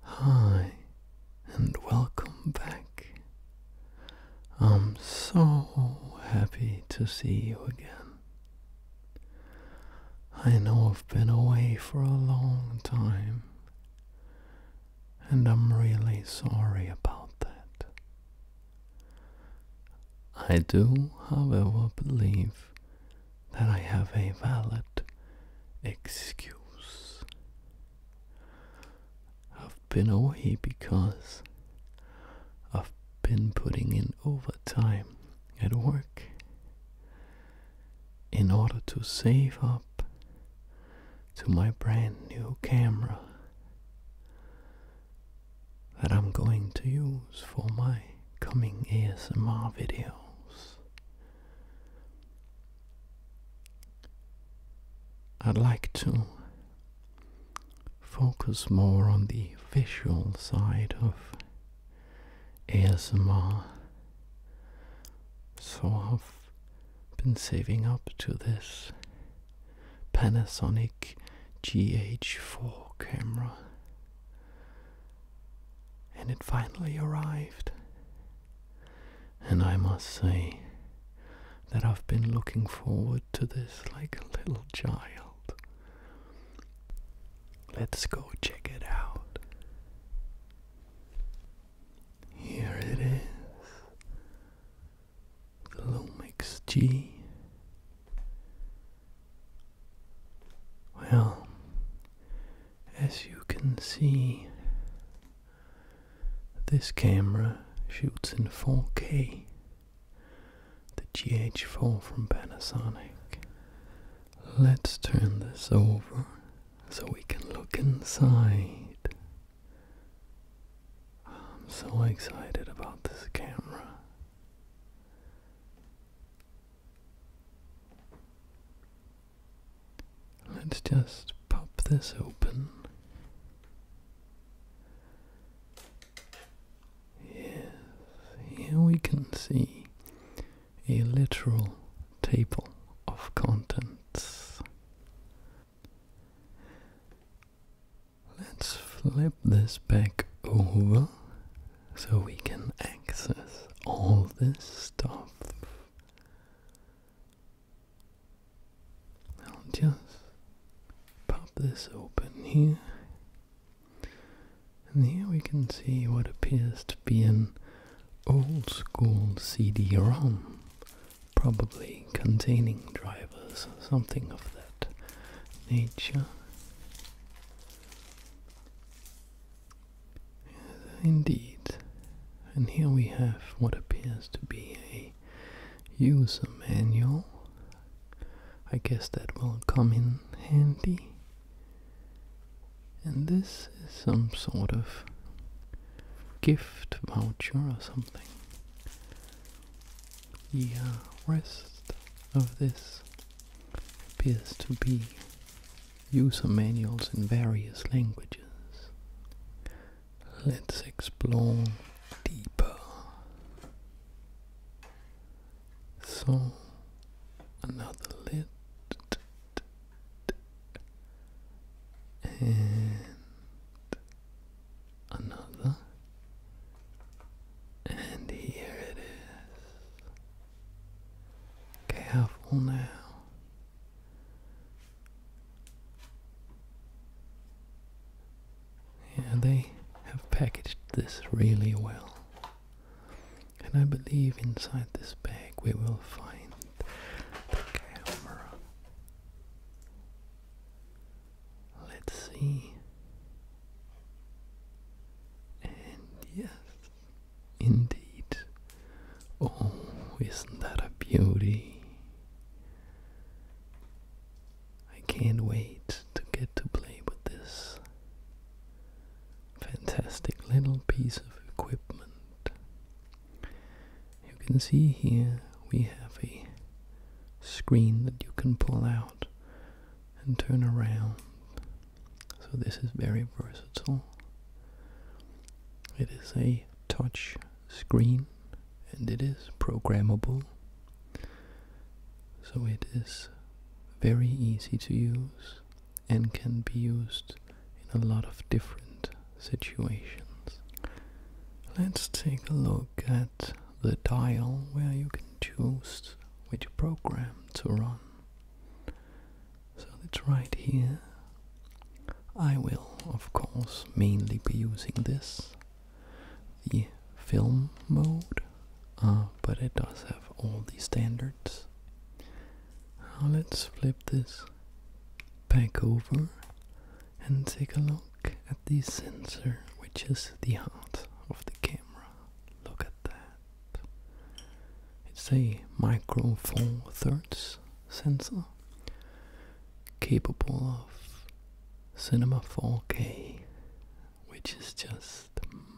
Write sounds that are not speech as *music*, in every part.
Hi, and welcome back. I'm so happy to see you again. I know I've been away for a long time, and I'm really sorry about that. I do, however, believe that I have a valid excuse. I've been away because I've been putting in overtime at work in order to save up to my brand new camera that I'm going to use for my coming ASMR videos. I'd like to focus more on the visual side of ASMR. So I've been saving up to this Panasonic GH4 camera. And it finally arrived. And I must say that I've been looking forward to this like a little child. Let's go check it out. Here it is. Lomix G. Well, as you can see, this camera shoots in 4K. The GH4 from Panasonic. Let's turn this over so we can look inside. I'm so excited about this camera. Let's just pop this open. Yes, here we can see a literal table of contents. Let's flip this back over so we can access all this stuff. I'll just pop this open here. And here we can see what appears to be an old school CD ROM, probably containing drivers, something of that nature. Indeed, and here we have what appears to be a user manual. I guess that will come in handy. And this is some sort of gift voucher or something. The uh, rest of this appears to be user manuals in various languages. Let's explore deeper. So, another lid. And another. And here it is. Careful now. Yeah, they have packaged this really well. And I believe inside this bag we will find the camera. Let's see. And yes, indeed. Oh, isn't that a beauty? I can't wait to get to play with this fantastic little piece of equipment. You can see here we have a screen that you can pull out and turn around. So this is very versatile. It is a touch screen and it is programmable. So it is very easy to use and can be used in a lot of different situations. Let's take a look look at the dial where you can choose which program to run. So that's right here. I will, of course, mainly be using this, the film mode, uh, but it does have all the standards. Now let's flip this back over and take a look look at the sensor, which is the heart of the camera. Look at that. It's a micro four thirds sensor capable of cinema 4K, which is just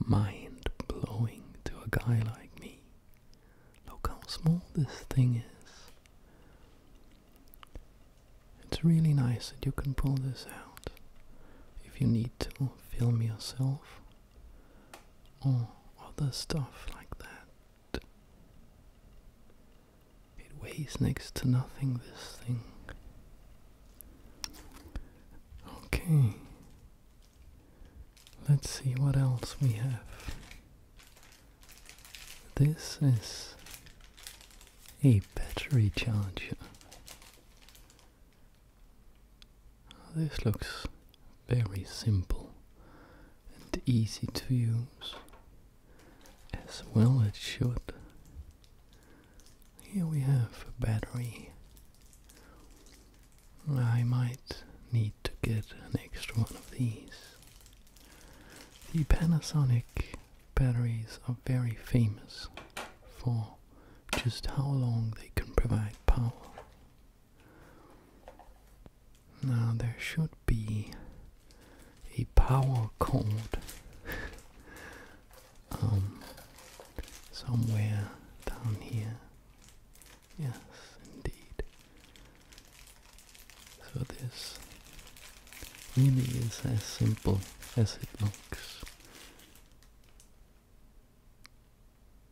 mind blowing to a guy like me. Look how small this thing is. It's really nice that you can pull this out if you need to film yourself or other stuff like that. It weighs next to nothing, this thing. Okay, let's see what else we have. This is a battery charger. This looks very simple and easy to use, as well it should. Here we have a battery. I might need to get an extra one of these. The Panasonic Batteries are very famous for just how long they can provide power. Now there should be a power cord *laughs* um, somewhere down here. Yes, indeed. So this really is as simple as it looks.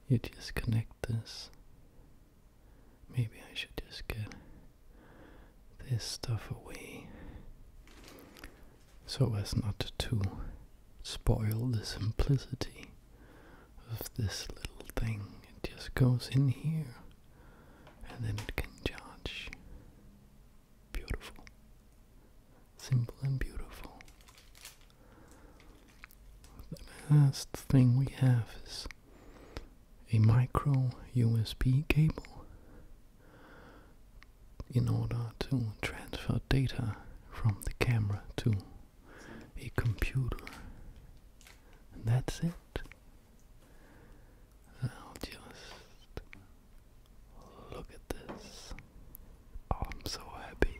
You just connect this. Maybe I should just get this stuff away so as not to spoil the simplicity of this little thing. It just goes in here and then it can charge. Beautiful. Simple and beautiful. The last thing we have is a micro USB cable in order to transfer data from the camera to a computer. And that's it. Now just look at this. I'm so happy.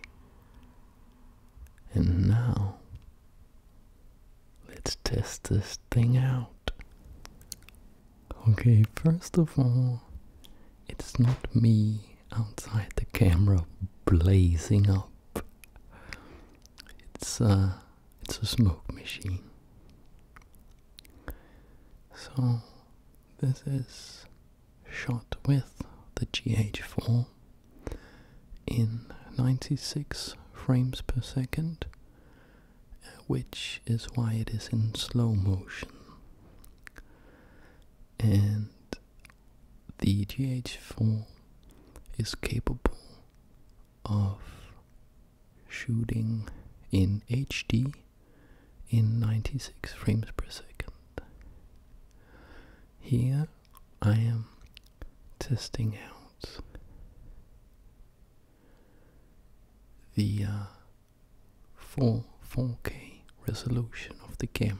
And now let's test this thing out. Okay, first of all, it's not me outside the camera blazing up. It's uh it's a smoke machine. So, this is shot with the GH4 in 96 frames per second, which is why it is in slow motion. And the GH4 is capable of shooting in HD in 96 frames per second. Here I am testing out the 4K uh, resolution of the camera.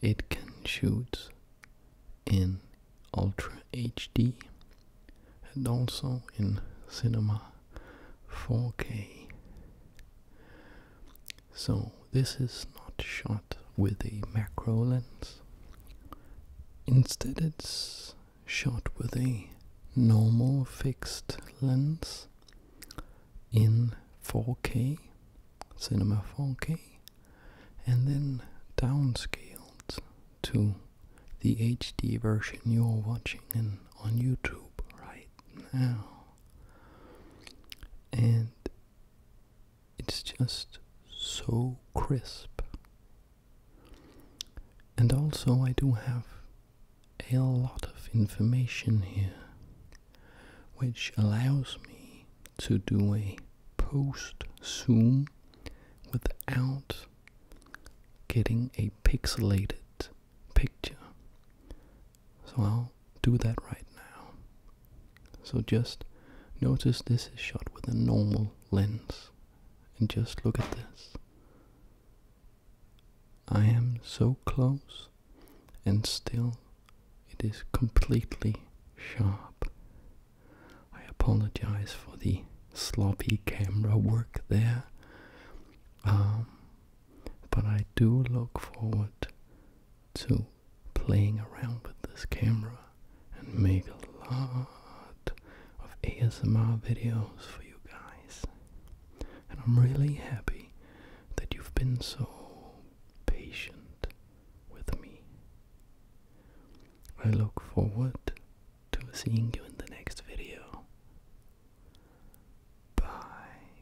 It can shoot in Ultra HD and also in Cinema 4K. So this is not shot with a macro lens. Instead it's shot with a normal fixed lens in 4K, Cinema 4K and then downscaled to the HD version you're watching on YouTube right now. And it's just so crisp. And also, I do have a lot of information here, which allows me to do a post zoom without getting a pixelated picture. So I'll do that right now. So just notice this is shot with a normal lens and just look at this. I am so close and still it is completely sharp I apologize for the sloppy camera work there. Um, but I do look forward to playing around with this camera and make a lot of ASMR videos for you guys. And I'm really happy that you've been so patient with me. I look forward to seeing you in the next video. Bye.